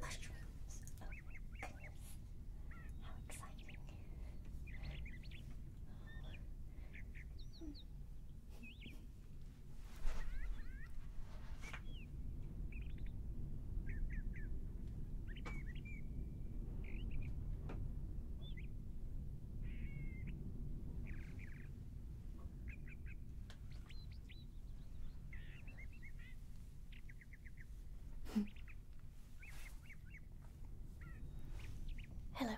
Mushrooms. Oh goodness. How exciting. Hello.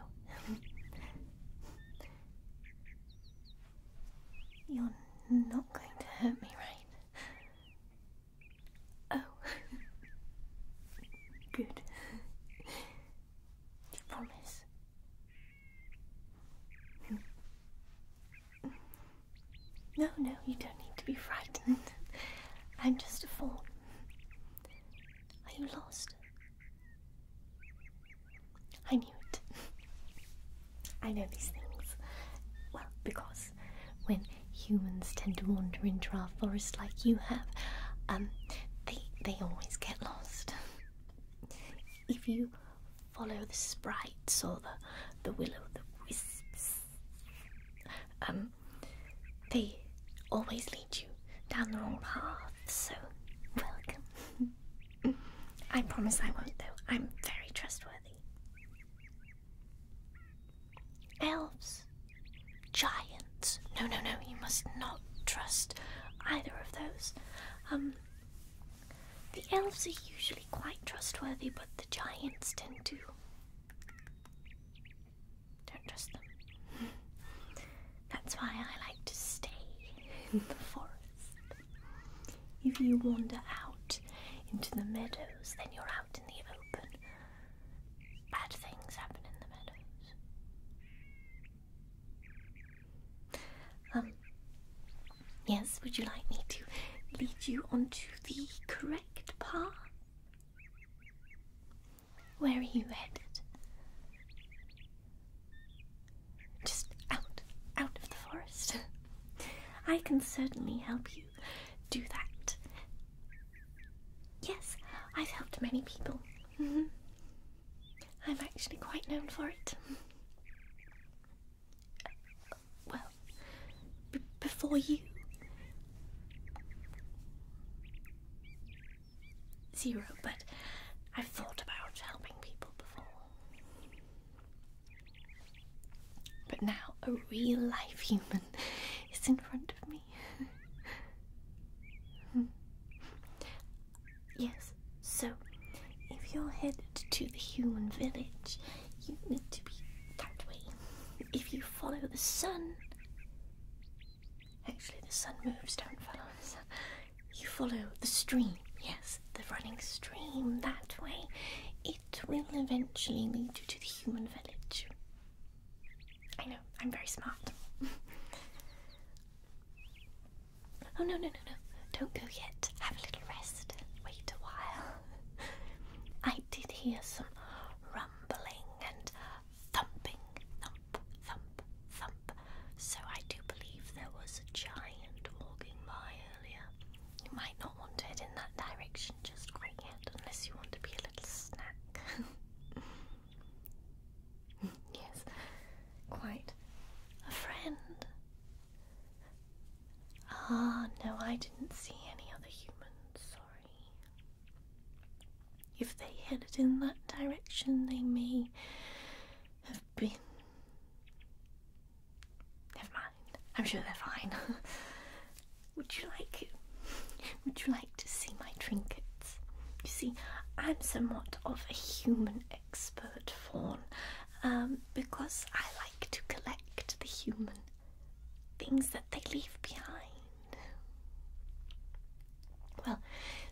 You're not going to hurt me, right? Oh. Good promise? No, no, you don't need to be frightened. I'm just a fawn. Are you lost? I knew it. I know these things. Well, because when humans tend to wander into our forest like you have, um, they they always get lost. if you follow the sprites or the the willow the wisps, um, they always lead you down the wrong path. So welcome. I promise I won't though. I'm very trustworthy. Elves giants. No, no, no, you must not trust either of those. Um, the elves are usually quite trustworthy, but the giants tend to. Don't trust them. That's why I like to stay in the forest. If you wander out into the meadows, then you're out in the open, Bad things happen in the meadows. Um, yes, would you like me to lead you onto the correct path? Where are you headed? Just out, out of the forest. I can certainly help you do that. Yes, I've helped many people. Mm-hmm. I'm actually quite known for it. Well, before you. Zero, but I've thought about helping people before. But now a real life human is in front of me. yes, so if you're headed to the human village, you need to be that way. If you follow the sun, actually, the sun moves, don't follow the sun. You follow the stream, yes, the running stream that way. It will eventually lead you to the human village. I know, I'm very smart. oh, no, no, no, no. Don't go yet. Have a little rest. Wait a while. I did hear some rumbling and thumping. Thump, thump, thump. So I do believe there was a giant walking by earlier. You might not want to head in that direction just quite yet, unless you want to be a little snack. yes, quite a friend. Ah, no, I didn't see any other humans, sorry. If they headed in that direction, they may have been. Never mind, I'm sure they're fine. Would you like would you like to see my trinkets? You see, I'm somewhat of a human expert fawn um, because I like to collect the human things that they leave behind. Well,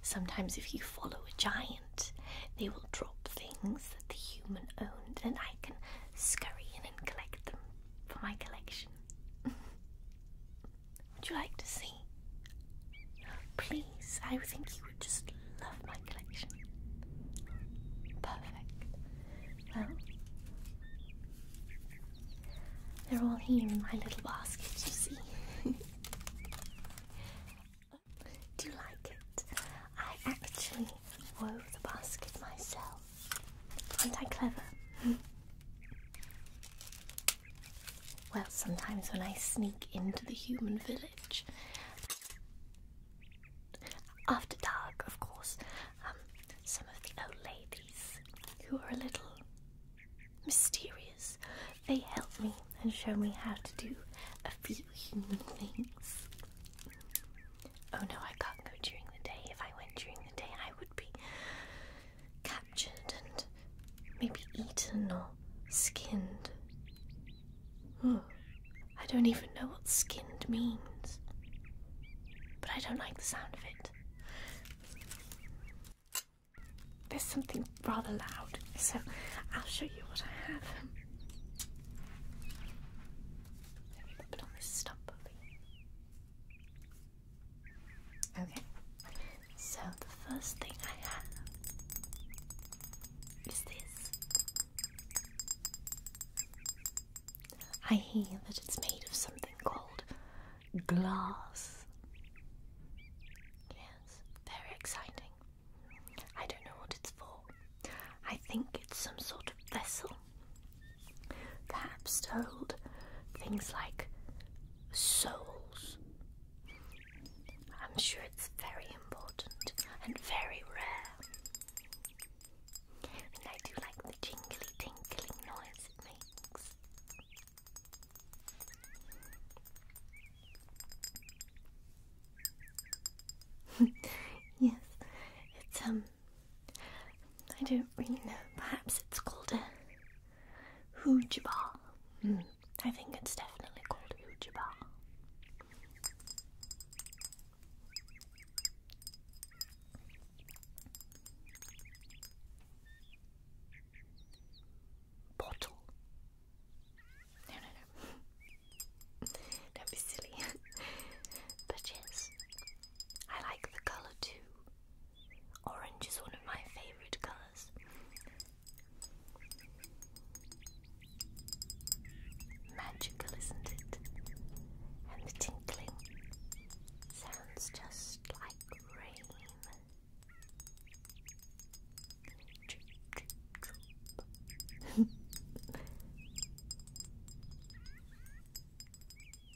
sometimes if you follow a giant, they will drop things that the human owned, and I can scurry in and collect them for my collection. Would you like to see? Please, I think you would just love my collection. Perfect. Well, they're all here in my little basket, you see. Do you like it? I actually wove the basket myself. Aren't I clever? Hmm. well, sometimes when I sneak into the human village, after dark, of course, um, some of the old ladies who are a little mysterious, they help me and show me how to do a few human things. Oh no, I can't go during the day. If I went during the day, I would be captured and maybe eaten or skinned. Hmm. I don't even know what skinned means, but I don't like the sound of it. There's something rather loud, so I'll show you what I have. Let me put on this stump Okay, so the first thing I have is this. I hear that it's made of something called glass. Yes, very exciting. I don't know what it's for. I think it's some sort of vessel perhaps told things like souls. I'm sure it's very important and very rare. And I do like the jingly tinkling noise it makes. yes, it's um I don't really know. Perhaps it's called a hujaba. Hmm. I think it's definitely called hujaba. Bottle. No, no, no. do but yes, I like the colour too. Orange is one of my favourite colours. Magical, isn't it? And the tinkling sounds just like rain. Tinkle,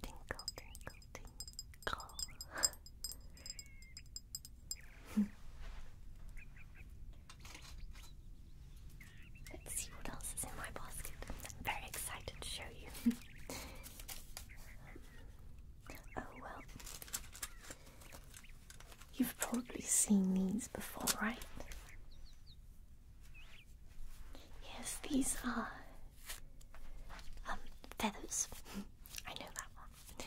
tinkle, tinkle, tinkle. Let's see what else is in my basket. I'm very excited to show you. um, oh well, You've probably seen these before, right? Yes, these are um, feathers. I know that one.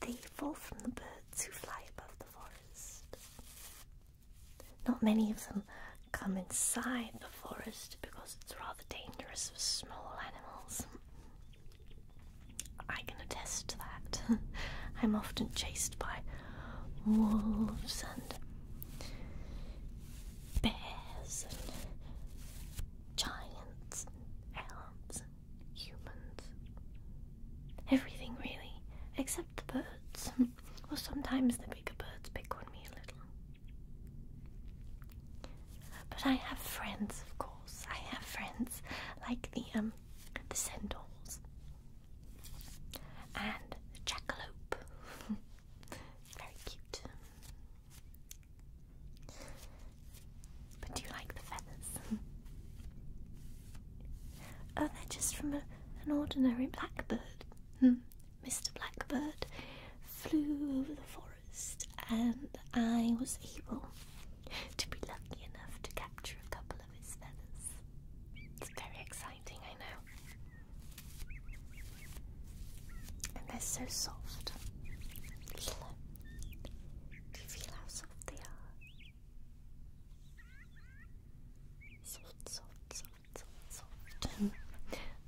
They fall from the birds who fly above the forest. Not many of them come inside the forest because it's rather dangerous for small animals. I can attest to that. I'm often chased by wolves and bears and giants and elves and humans. Everything really, except the birds. Well, sometimes the bigger birds pick on me a little. But I have friends, of course. I have friends like the um the centaurs and jackalope. Very cute. But do you like the feathers? oh, they're just from an ordinary blackbird. Mr. Hmm. Blackbird flew over the forest, and I was able to be lucky enough to capture a couple couple of his feathers. It's very exciting, I know. And they're so soft. Hello. Um, do you feel how soft they are? Soft, soft, soft, soft, soft.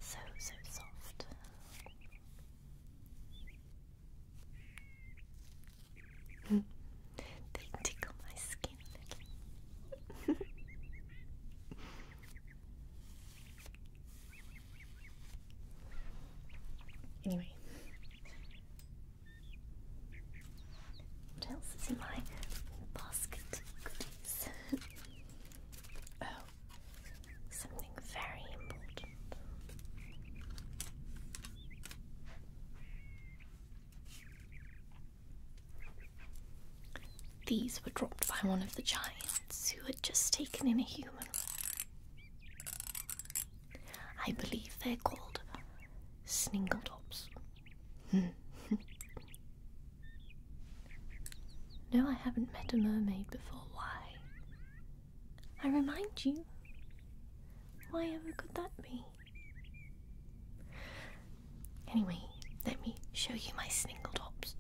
so, so soft they tickle my skin anyway, what else is in my basket oh, something very important. These were dropped by one of the giants who had just taken in a human. I believe they're called Sningledops. no, I haven't met a mermaid before. Why? I remind you. Why ever could that be? Anyway, let me show you my sningle tops.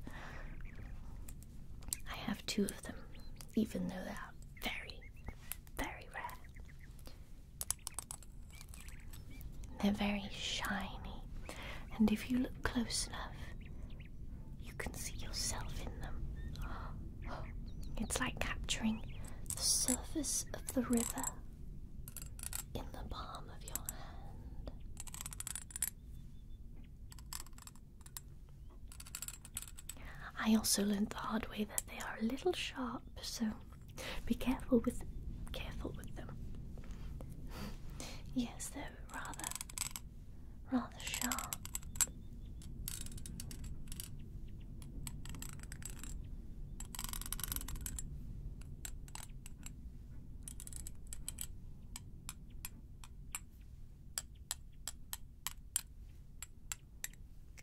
I have two of them, even though they are very, very rare. They're very shiny, and if you look close enough, you can see yourself in them. It's like capturing the surface of the river in the palm of your hand. I also learned the hard way that they are a little sharp, so be careful with them. careful with them. yes, they're rather rather sharp.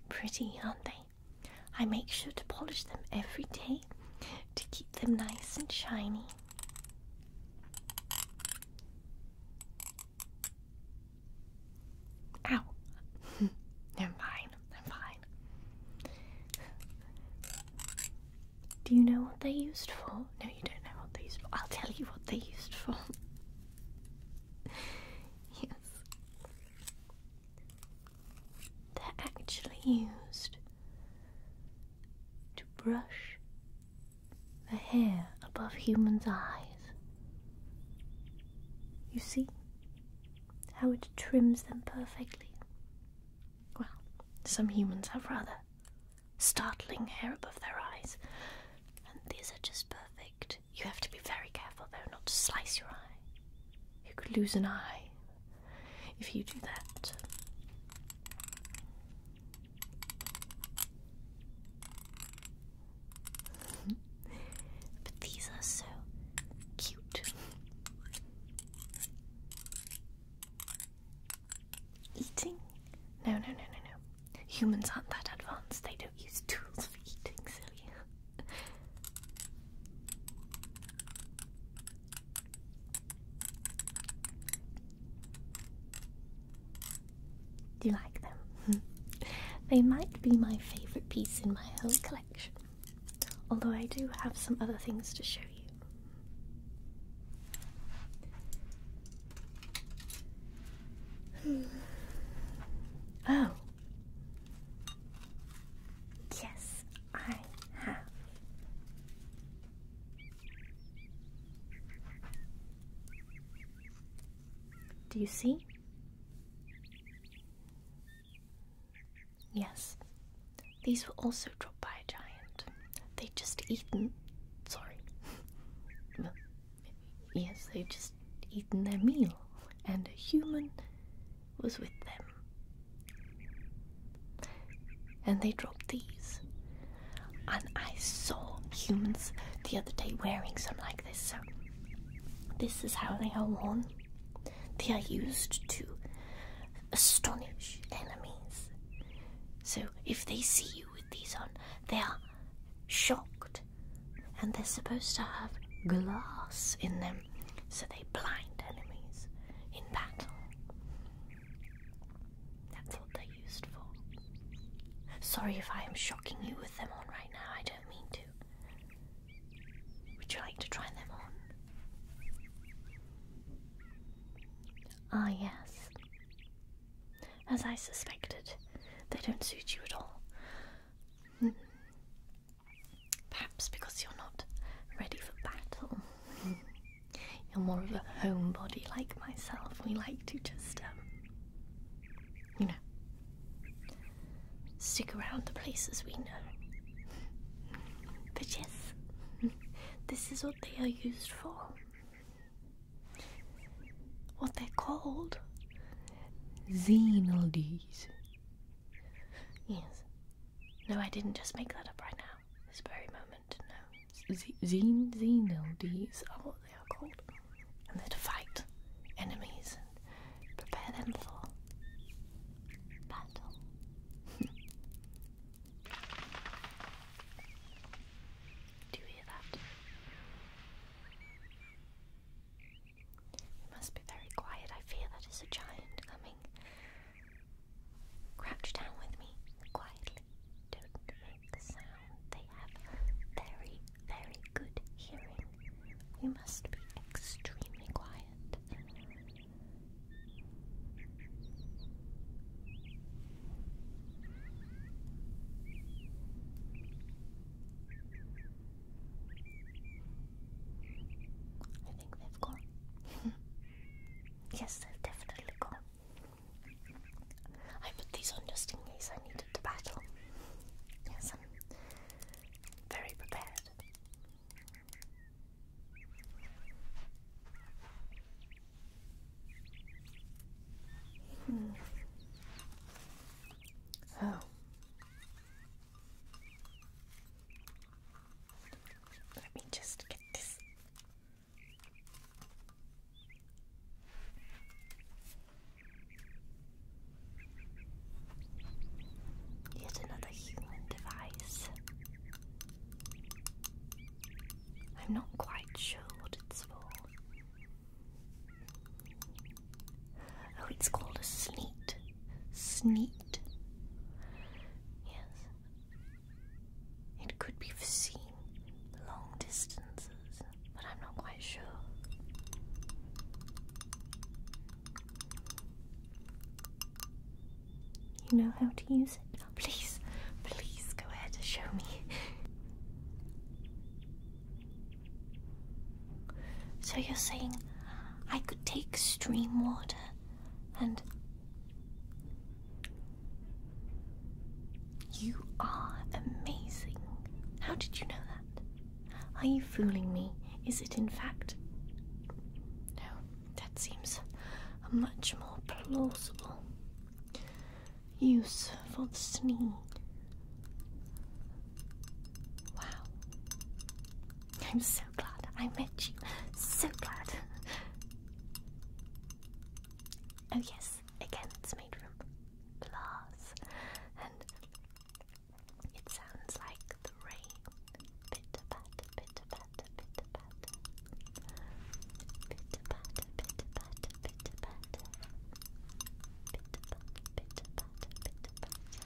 Pretty, aren't they? I make sure to polish them every day to keep them nice and shiny. Ow. I'm fine. I'm fine. Do you know what they used for? No, you don't know what they used for. I'll tell you what they used for. yes. They're actually used to brush the hair above humans' eyes. You see how it trims them perfectly? Well, some humans have rather startling hair above their eyes, and these are just perfect. You have to be very careful, though, not to slice your eye. You could lose an eye if you do that but these are so cute. Eating? No, no, no, no, no. Humans aren't that advanced. They don't use tools for eating, silly do you like them. they might be my favourite piece in my whole collection, although I do have some other things to show you. Hmm. Oh, yes, I have. Do you see? Yes, these were also dropped by a giant. They'd just eaten. Sorry. yes, they'd just eaten their meal, and a human was with them. And they dropped these. And I saw humans the other day wearing something like this, so this is how they are worn. They are used to astonish enemies. So if they see you with these on, they are shocked. And they're supposed to have glass in them so they blind enemies in battle. That's what they're used for. Sorry if I am shocking you with them on right now don't mean to. Would you like to try them on? Ah, yes. As I suspected, they don't suit you at all. Hmm. Perhaps because you're not ready for battle. Hmm. You're more of a homebody like myself. We like to just um, you know, stick around the places we know. But yes, this is what they are used for. What they're called Xenoldes. Yes. No, I didn't just make that up right now. This very moment, no. Xenoldes are they are called. And they're to fight enemies and prepare them for battle. Do you hear that? It must be very quiet. I fear that is a giant coming. Crouch down with me quietly. Don't make a sound. They have very very good hearing. You must be extremely quiet. I think they've gone. yes, they've definitely gone. I put these on just in case I needed to battle. Yes, I'm very prepared. Hmm. Oh. Let me just get this Yet another human device. I'm not quite sure what it's for. Oh, it's called a sneet. Sneet. Yes. It could be for seeing long distances but I'm not quite sure. You know how to use it? Please, please go ahead and show me. so you're saying I could take stream water and you are amazing. How did you know that? Are you fooling me? Is it in fact? No, that seems a much more plausible use for the sneeze. Wow. I'm so glad I met you. So glad. Oh, yes, again, it's made room glass, and it sounds like the rain. Pitter patter, pitter patter, pitter patter, pitter patter, pitter patter, pitter patter, pitter patter, pitter patter,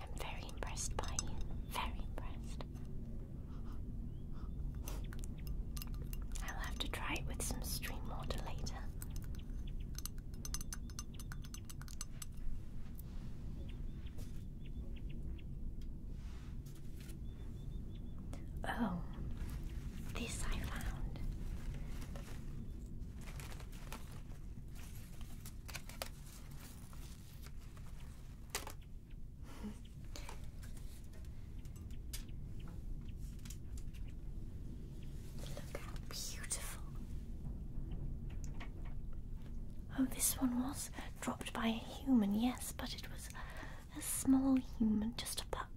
I'm very impressed by you. Very impressed. I'll have to try it with some stream water later. Oh, this I found. Look how beautiful. Oh, this one was dropped by a human, yes, but it was a small human, just a pup.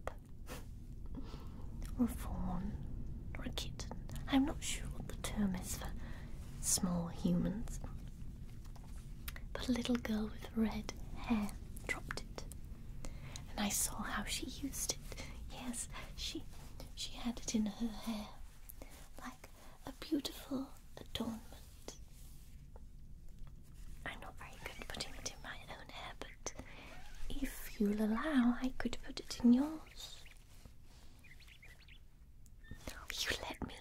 or a fawn, or a kitten. I'm not sure what the term is for small humans. But a little girl with red hair dropped it. And I saw how she used it. Yes, she she had it in her hair like a beautiful adornment. I'm not very good at putting it in my own hair, but if you'll allow, I could put it in yours. Will you let me?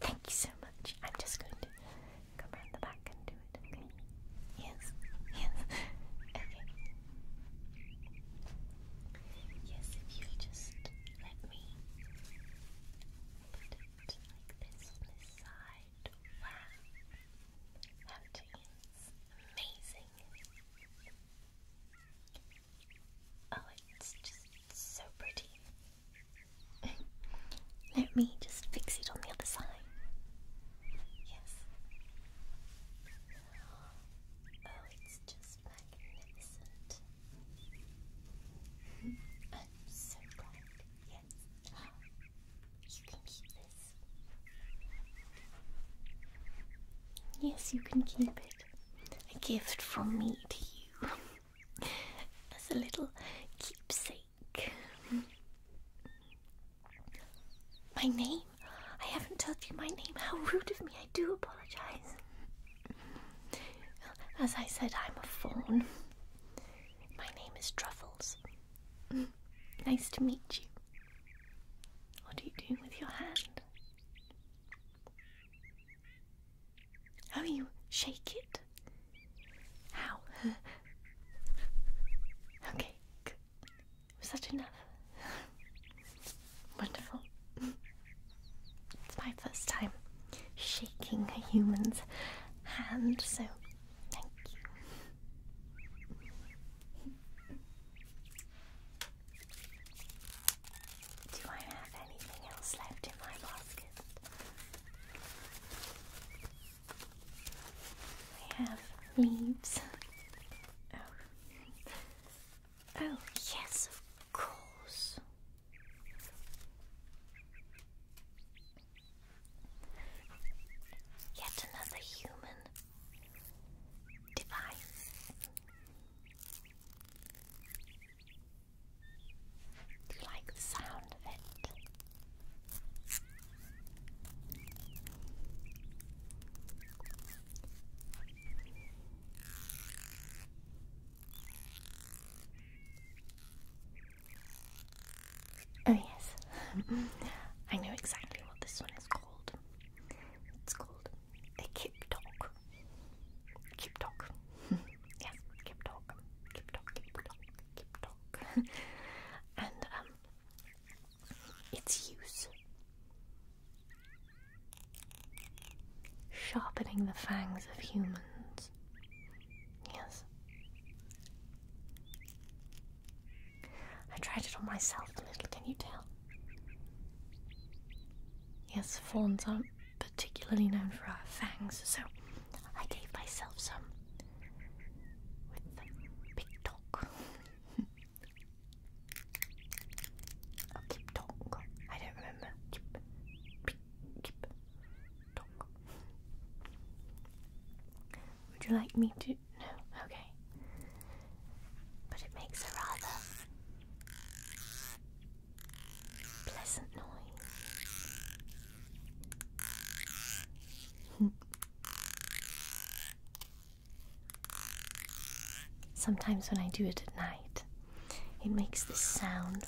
Thank you so much. I'm just going to come around the back and do it, okay? Yes, yes, Yes, if you just let me put it like this on this side. Wow, how Amazing. Oh, it's just so pretty. Let me just fix it on the other side. Yes. Oh, it's just magnificent. Mm-hmm. I'm so glad. Yes. You can keep this. Yes, you can keep it. A gift from me to you. as a little keepsake. My name? I haven't told you my name. How rude of me. I do apologize. As I said, I'm a fawn. My name is Truffles. Nice to meet you. What are you doing with your hand? How you shake it? How? okay, Was that enough? Wonderful. it's my first time shaking a human's hand, so thank you. Do I have anything else left in my basket? We have leaves. Oh. oh. yes, of course. Yet another human device. Do you like the sound of it? Oh, yes, I know exactly what this one is called. It's called a kip talk. Kip talk yeah, keep talk, keep talk, keep talk, keep talk. and um, its use. Sharpening the fangs of humans. Yes. I tried it on myself a little, can you tell? Yes, fawns are particularly known for our fangs, so I gave myself some with the big dog. keep dog. I don't remember. Keep, keep, keep Would you like me to? No. Okay. But it makes a rather pleasant noise. Sometimes when I do it at night, it makes this sound,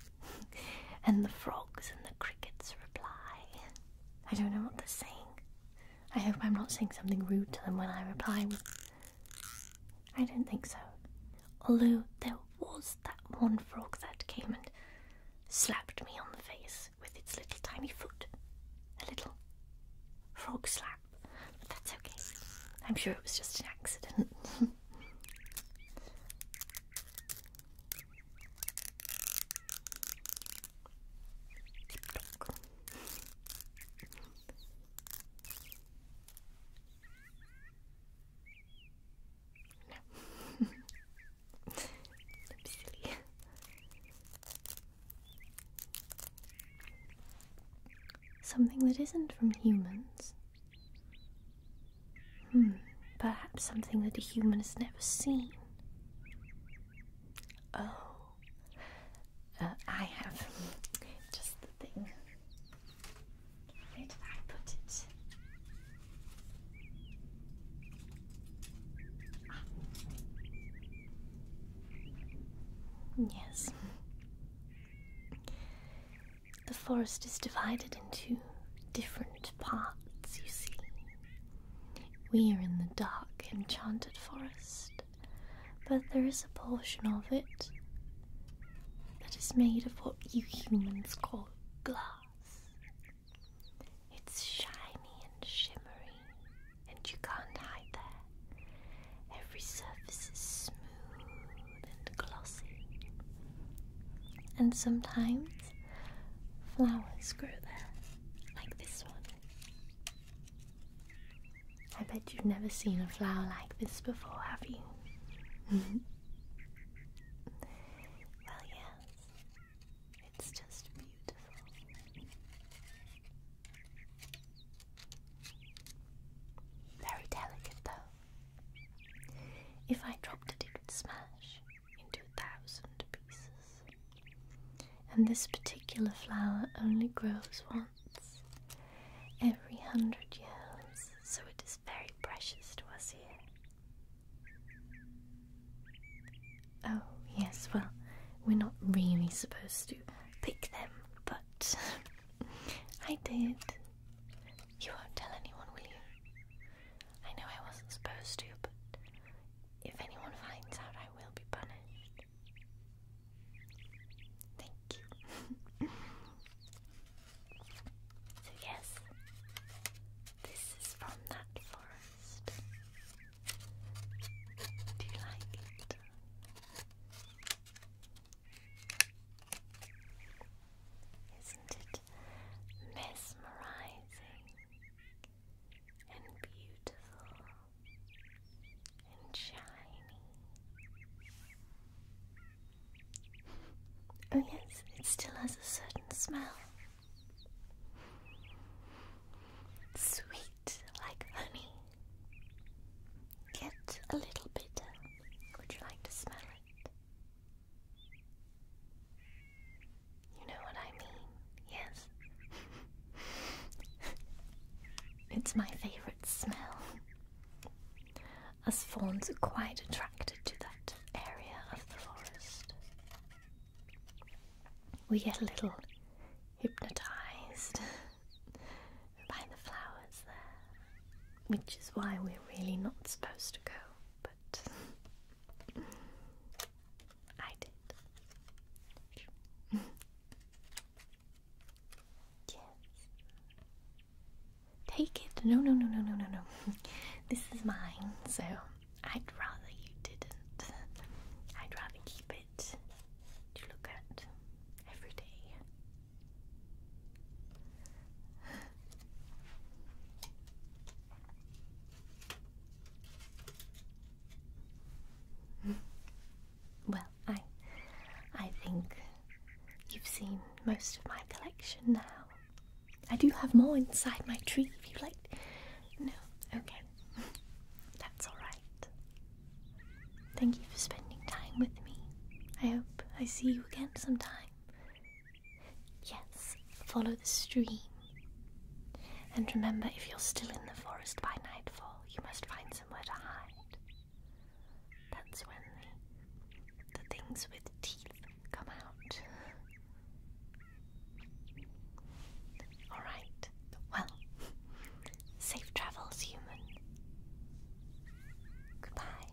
and the frogs and the crickets reply. I don't know what they're saying. I hope I'm not saying something rude to them when I reply I don't think so. Although there was that one frog that came and slapped me on the face with its little tiny foot. A little frog slap. But that's okay. I'm sure it was just an accident. No. silly. Something that isn't from humans. Hmm, perhaps something that a human has never seen. Oh, uh, I have just the thing. Where did I put it? Ah. Yes. The forest is divided into different parts, you see. We are in the dark, enchanted forest but there is a portion of it that is made of what you humans call glass. It's shiny and shimmering, and you can't hide there. Every surface is smooth and glossy, and sometimes flowers grow there, like this one. I bet you've never seen a flower like this before, have you? well, yes, it's just beautiful. Very delicate, though. If I dropped it, it would smash into a thousand pieces. And this particular flower only grows once every hundred years, so it is very precious to us here. Oh, yes, well, we're not really supposed to pick them, but I did. You won't tell anyone, will you? I know I wasn't supposed to, but if anyone finds out, I will be punished. Thank you. so, yes, this is from that forest. Do you like it? Isn't it mesmerizing and beautiful? and shiny. Oh, yes, it still has a certain smell. Sweet like honey, yet a little bitter. Would you like to smell it? You know what I mean, yes? it's my favourite smell. As fawns are quite attracted to that area of the forest. We get a little hypnotised by the flowers there, which is why we're really not supposed to go, but I did. Yes. Take it. No, no, no, no, no, no, no. this is mine, so I'd rather you didn't. I'd rather keep it to look at every day. Well, I, I think you've seen most of my collection now. I do have more inside my tree if you like. No, okay. That's alright. Thank you for spending time with me. I hope I see you again sometime. Yes, follow the stream. And remember, if you're still in the forest by nightfall, you must find somewhere to hide. That's when the things with teeth come out. Alright, well, safe travels, human. Goodbye.